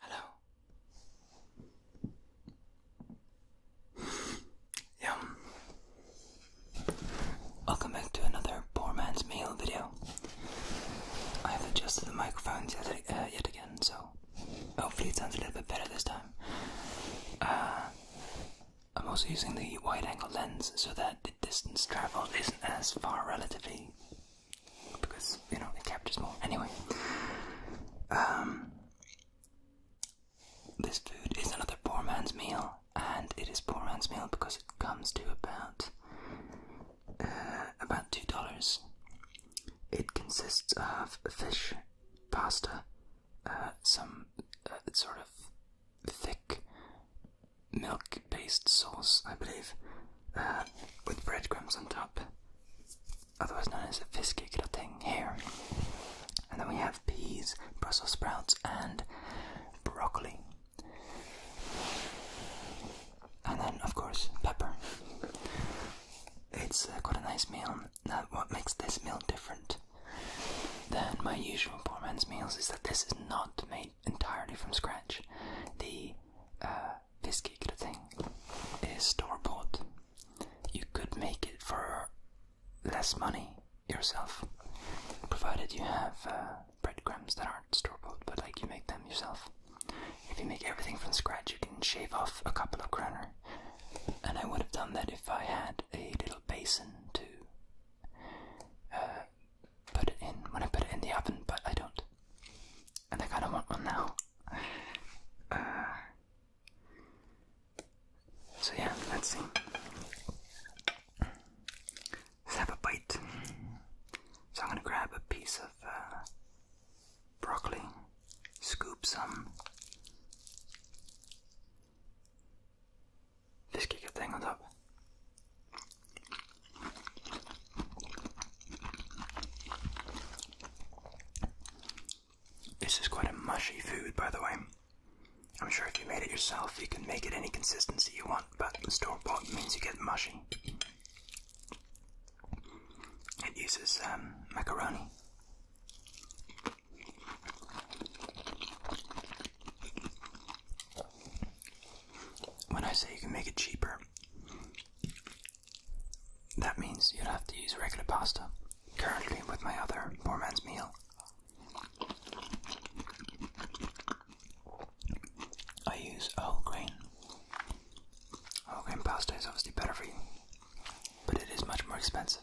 Hello. Yum. Welcome back to another poor man's meal video. I have adjusted the microphones yet, uh, again, so hopefully it sounds a little bit better this time. Uh, I'm also using the wide angle lens so that the distance traveled isn't as far relatively because you know it captures more. Anyway, um, this food is another poor man's meal, and it is poor man's meal because it comes to about uh, about two dollars. It consists of fish, pasta, uh, some uh, sort of thick milk-based sauce, I believe, uh, with breadcrumbs on top, otherwise known as a fisque gratin here. And then we have peas, Brussels sprouts, and broccoli. And then, of course, pepper. It's uh, quite a nice meal. Now, what makes this meal different than my usual poor man's meals is that this is not made entirely from scratch. The uh, this cake thing is store-bought. You could make it for less money yourself, provided you have uh, breadcrumbs that aren't store-bought, but like you make them yourself. If you make everything from scratch, you can shave off a couple of kroner. And I would have done that if I had a little basin to uh, put it in when I put it in the oven, but I don't. And I kind of want one now. Uh, so yeah, let's see. Let's have a bite. So I'm gonna grab a piece of uh, broccoli, scoop some fish kicker thing on top. This is quite a mushy food, by the way. I'm sure if you made it yourself, you can make it any consistency you want, but store bought means you get mushy. It uses um, macaroni when I say you can make it cheaper, that means you'd have to use regular pasta. Currently, with my other poor man's meal, I use whole grain. Whole grain pasta is obviously better for you, but it is much more expensive.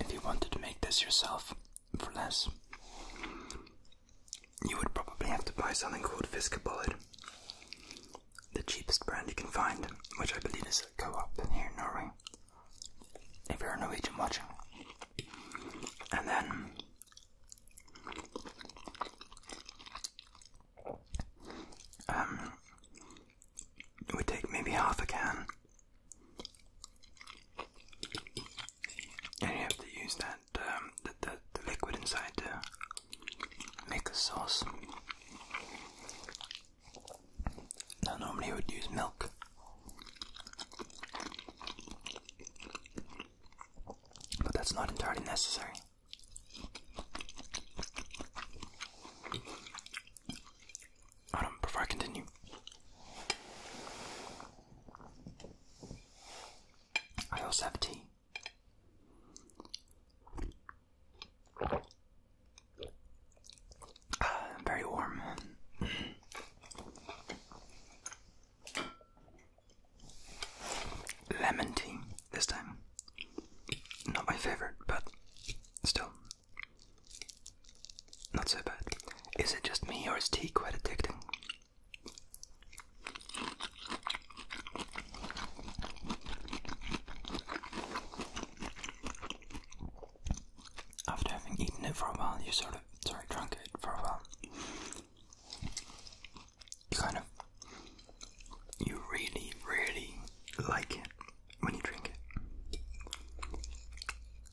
If you wanted to make this yourself for less, you would probably have to buy something called Fisker Bullet, the cheapest brand you can find, which I believe is a Go Up here in Norway. If you're a Norwegian watching, and then um, we take maybe half a can and you have to use that um, liquid inside to make a sauce. Now normally I would use milk. But that's not entirely necessary. Hold on, before I continue. I also have tea. Uh, very warm. Lemon tea this time. Not my favorite, but still, not so bad. Is it just me or is tea quite addicting? After having eaten it for a while, you sort of, sorry, drunk it for a while. You kind of, you really, really like it when you drink it.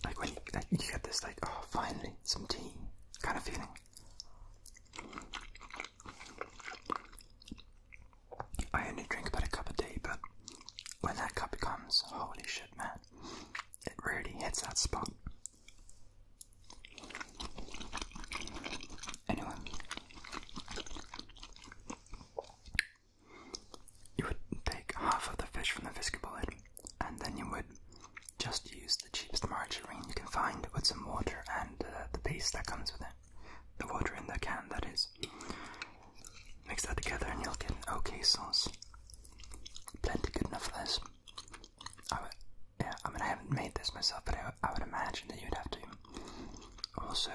Like when you, like you get this, like, oh, finally, some tea kind of feeling. I only drink about a cup a day, but when that cup comes, holy shit, man, it really hits that spot. Anyway, you would take half of the fish from the fisker bullet, and then you would just use the cheapest margarine you can find with some water and uh, the paste that comes with it. The water in the can, that is. Mix that together and you'll get an okay sauce. Plenty good enough for this. I would, yeah, I mean, I haven't made this myself, but I would imagine that you'd have to also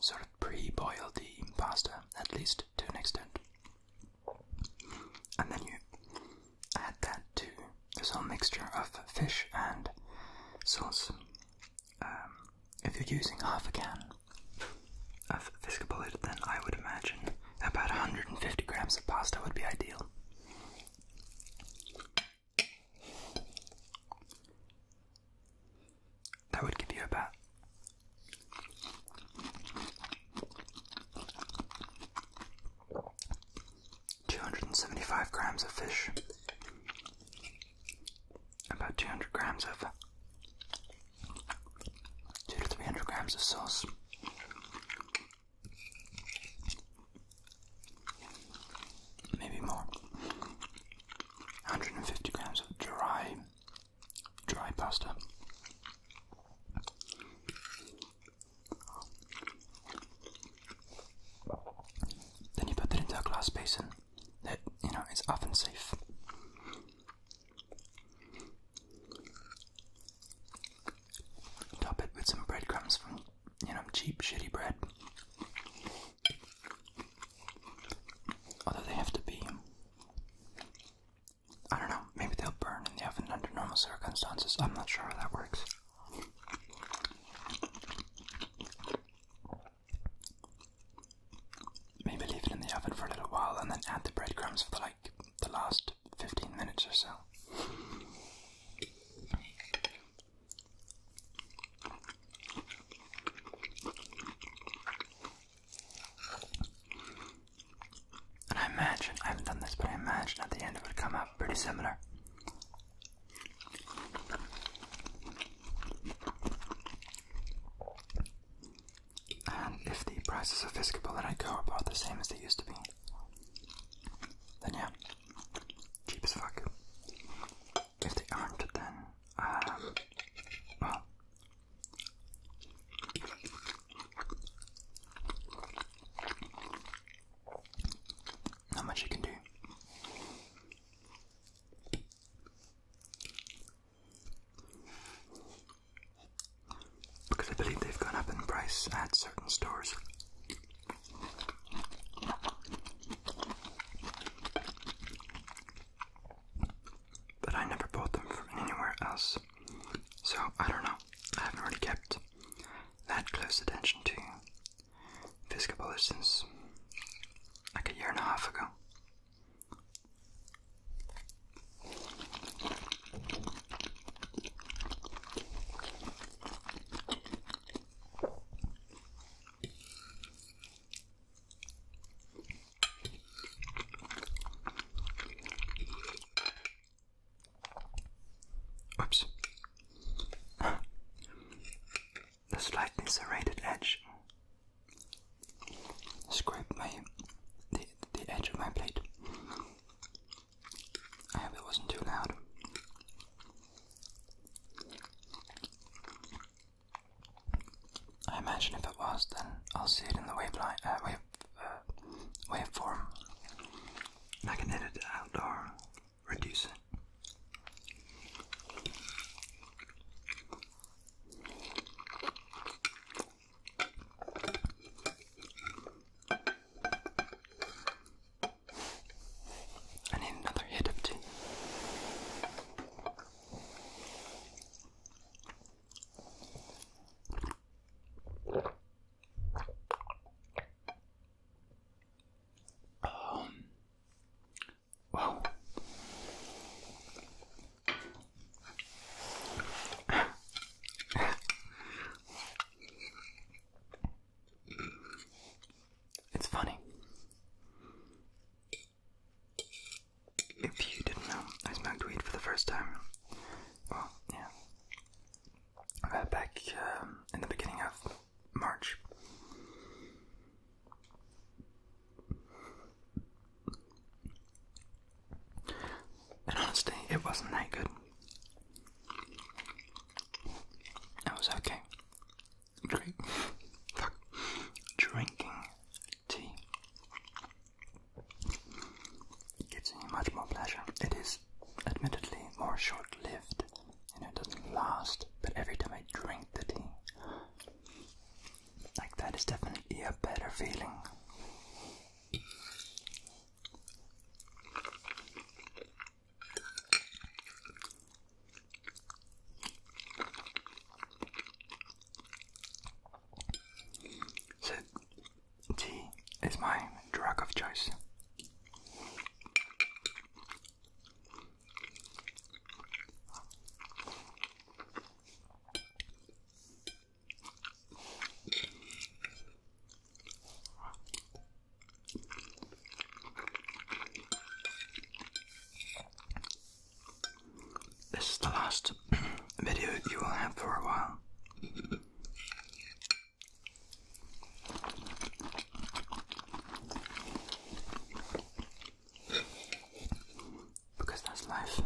sort of pre-boil the pasta at least to an extent, and then you add that to this whole mixture of fish and sauce. Um, if you're using half a can of fish Fiscabullet, then I would imagine about 150 grams of pasta would be ideal that would give you a bat. Two hundred and seventy-five grams of fish, about two hundred grams of two to three hundred grams of sauce. Maybe more. 150 grams of dry dry pasta. Then you put that into a glass basin that you know is oven safe. Top it with some breadcrumbs from you know cheap shitty bread. Although they have to be. I don't know, maybe they'll burn in the oven under normal circumstances. I'm not sure how that works. Maybe leave it in the oven for a little while and then add the breadcrumbs for the, like the last 15 minutes or so. I imagine, I haven't done this, but I imagine at the end it would come out pretty similar. And if the prices of Fisker I go about the same as they used to be, then yeah, cheap as fuck. If they aren't, then um, well, not much you can do. Because I believe they've gone up in price at certain stores. But I never bought them from anywhere else, so I don't know. I haven't really kept that close attention to Fiscabulus since like a year and a half ago. Oops. The slightly serrated edge scraped my the, the edge of my plate. I hope it wasn't too loud. I imagine if it was, then I'll see it in the wave line, uh, wave, uh, waveform. I can edit it out or reduce it. I need another hit of tea. Um, well, it's funny. If you didn't know, I smoked weed for the first time. Well, yeah. Uh, back um, in the beginning of March. And honestly, it wasn't that good. That was okay. Drink. Fuck. Drinking tea gives me much more pleasure. It is admittedly more short lived and it doesn't last, but every time I drink the tea, like that is definitely a better feeling. So, tea is my drug of choice. This is the last video you will have for a while. Because that's life.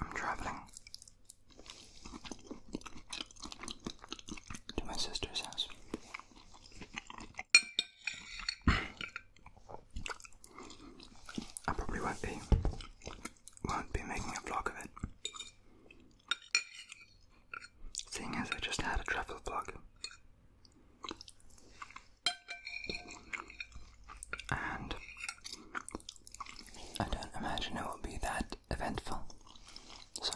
I'm traveling to my sister's house. I probably won't be won't be making a vlog of it. Seeing as I just had a travel vlog. And I don't imagine it will be that eventful. So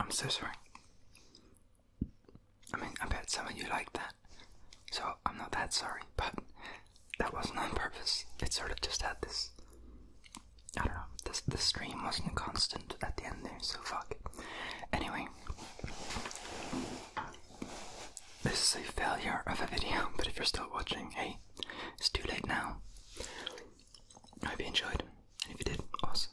I'm so sorry. I mean, I bet some of you like that, so I'm not that sorry, but that wasn't on purpose. It sort of just had this. I don't know, this, the stream wasn't constant at the end there, so fuck. Anyway. This is a failure of a video, but if you're still watching, hey, it's too late now. I hope you enjoyed, and if you did, awesome.